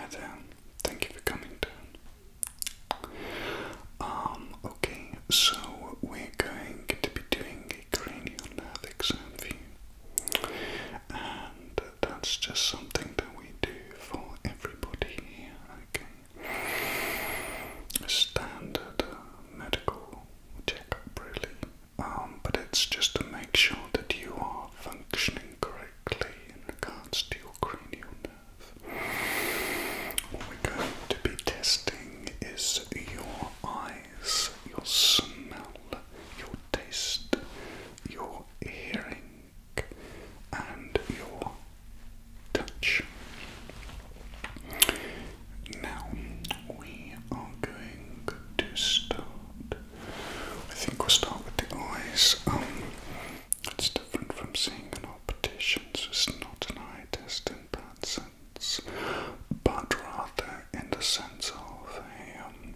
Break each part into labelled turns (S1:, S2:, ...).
S1: And, thank you for coming down. Um, okay, so we're going to be doing a cranial nerve exam for you. And that's just something that we do for everybody A standard uh, medical checkup, really. Um, but it's just to make sure that you are functioning correctly in regards to your cranial nerve. What we're going to be testing is your eyes, your smell, your taste, your hearing, and your touch. Now we are going to start I think we'll start with the eyes. Um, it's different from seeing an optician, so it's not an eye test in that sense, but rather in the sense of a um,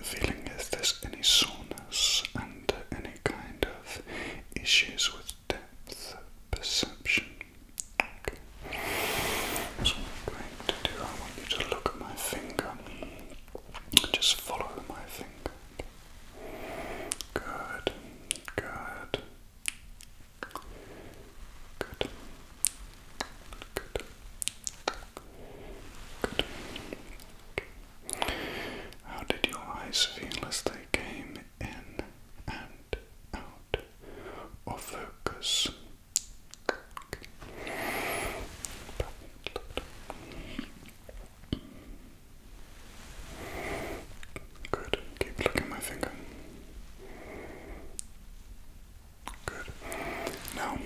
S1: feeling if there's any soreness and any kind of issues with depth perception. what I'm going to do, I want you to look at my finger just follow my finger. Good, good, good, good, good. How did your eyes feel as they came in and out or focus? Good. Keep licking my finger. Good. Now,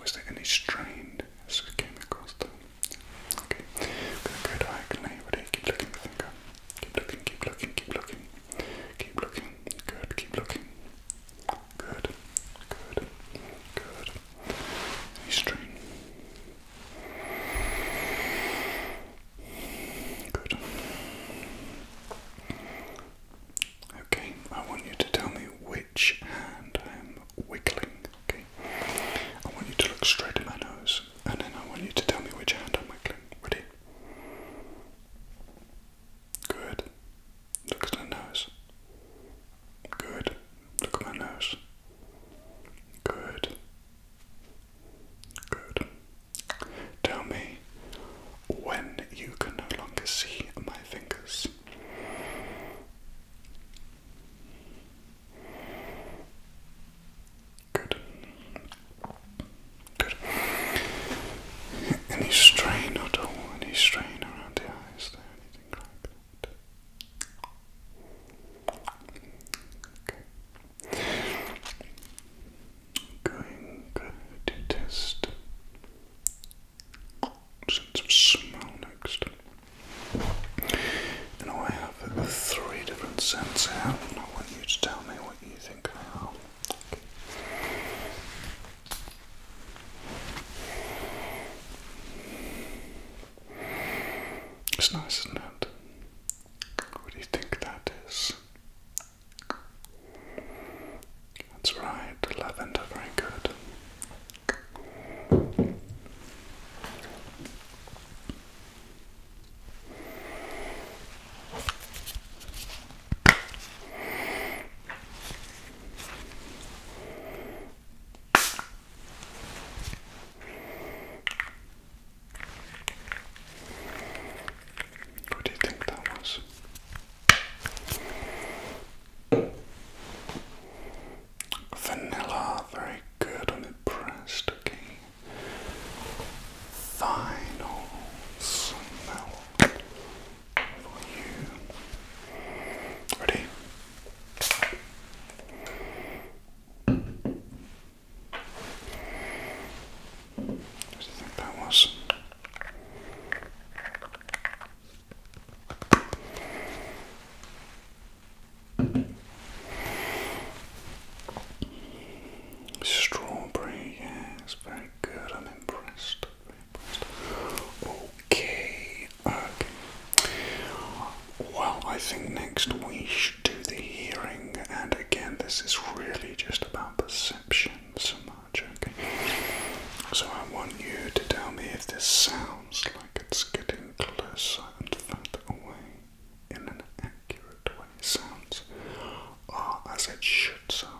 S1: was there any strain as we came across the Okay. Good, good. I can Keep looking the finger. Keep looking, keep looking, keep looking. Keep looking. Good. Keep looking. Good. Good. Good. Any strain? Good. Okay, I want you to tell me which hand I am wiggling. Okay, I want you to look straight at my nose, and then I want you to tell me which hand I'm wiggling. Ready? Good. Look at her nose. Good. Look at my nose. Good. Good. Tell me when you can no longer see my fingers. Good. Good. Any strain at all? Any strain around the eyes there? Anything like that? Okay. Going to test sense of smell next. And I have three different scents here, I want you to tell me what you think they are. It's nice, isn't it? What do you think that is? That's right, lavender, very good. Who do you think that was? Vanilla, very good on it pressed, final smell for you. Ready? What do you think that was? Strawberry, yes, very good. I'm impressed. impressed. Okay, okay. Well, I think next we should do the hearing, and again, this is really just about perception so much, okay? So I want you to tell me if this sounds like it's getting closer and further away in an accurate way. sounds as it should sound.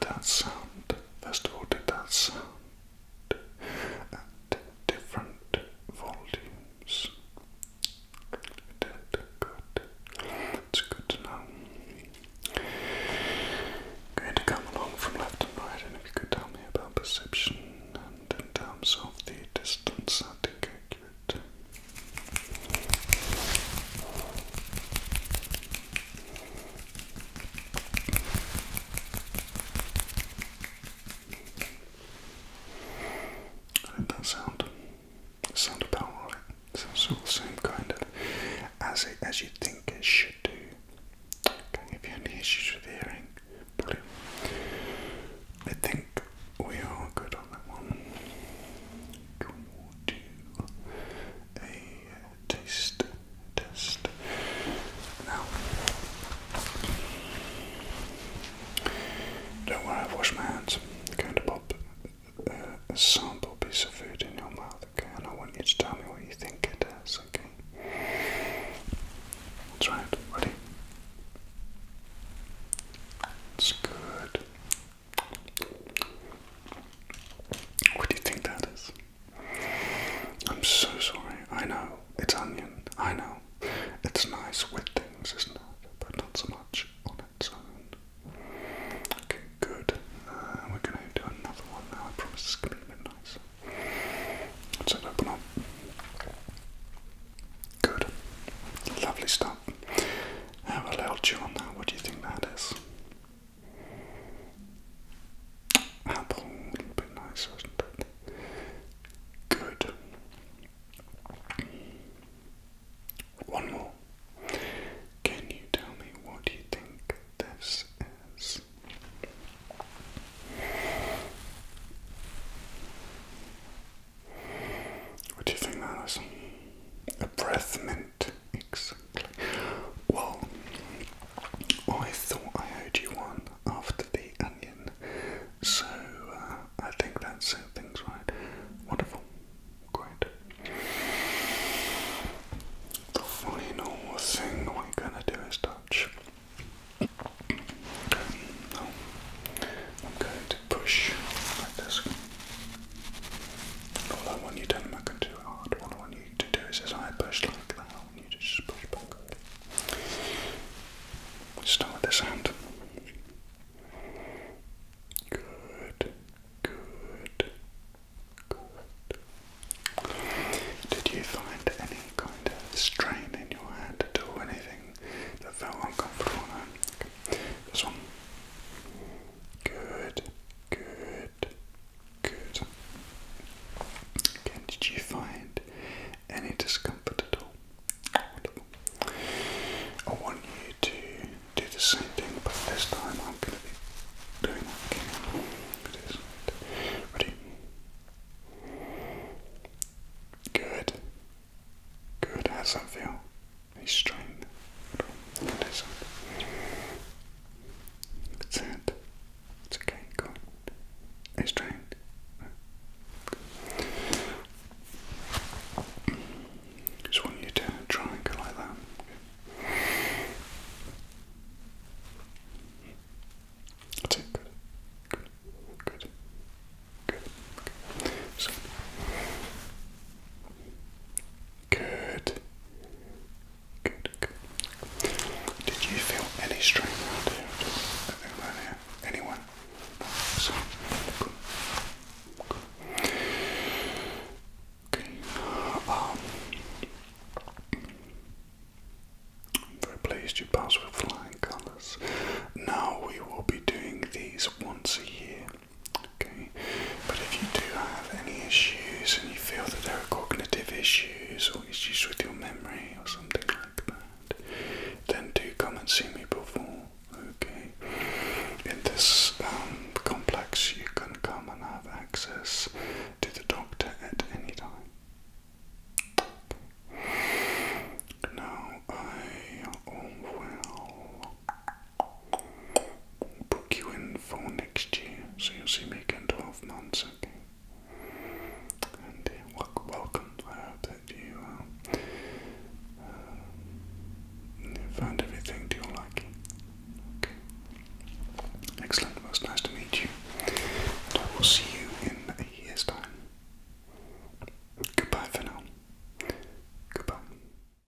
S1: That sound, first of all, did that sound different volumes? Good, good. It's good to know. going to come along from left and right, and if you could tell me about perception and in terms of the distance, accurate did that sound? sound sounded about right. sounds all the same kind of as as you think it should do. Okay, if you have any issues with hearing, I think we are good on that one. we'll do a taste test now. Don't worry, I've washed my hands. I'm going to pop a sample piece of food in your mouth, okay? And I want you to tell me what you think it is, okay? That's right, ready? It's good. What do you think that is? I'm so sorry. I know, it's onion. I know. It's nice with things, isn't it? But not so much on its own. Okay, good. Uh, we're gonna do another one now. I promise it's gonna be a bit Let's open up. Good. Lovely stuff. Have a little chew on that. What do you think that is? apple, a little nice, wasn't it? Good. One more. Can you tell me what you think this is? What do you think that is? A breath mint, exactly. Well, I thought I heard you once after the onion. So uh, I think that's uh, things right. Wonderful. Great. The final thing we're gonna do is touch. I'm going to push like this. All I want you to do, I'm not going to do hard. All I want you to do is as I push like just push back. Start with this hand. Good, good, good. Did you find any kind of strain in your hand at all? Anything that felt uncomfortable? This one. Good, good, Good. Again, did you find any discomfort at all? I want you to do the same thing, but this time I'm going to be doing that again. Ready? Good. Good. How's that feel? Any strain? That's it. It's okay, go on. Are trying? Just want you to try and go like that. Okay. That's Good. Good. Good. Good. Okay. Good. Did you feel any strain around here? Anyone? Um, I'm very pleased you passed with flying colours. Now we will be doing these once a year. Okay, but if you do have any issues and you feel that there are cognitive issues or issues with your memory or something like that, then do come and see me before. Okay, in this um, complex, you can come and have access to the doctor at any time. Now I will book you in for next year, so you'll see me again 12 months, okay? And uh, welcome, I hope that you um, uh, um, everything to your liking, Excellent, Most nice to meet you, and I will see you in a year's time. Goodbye for now. Goodbye.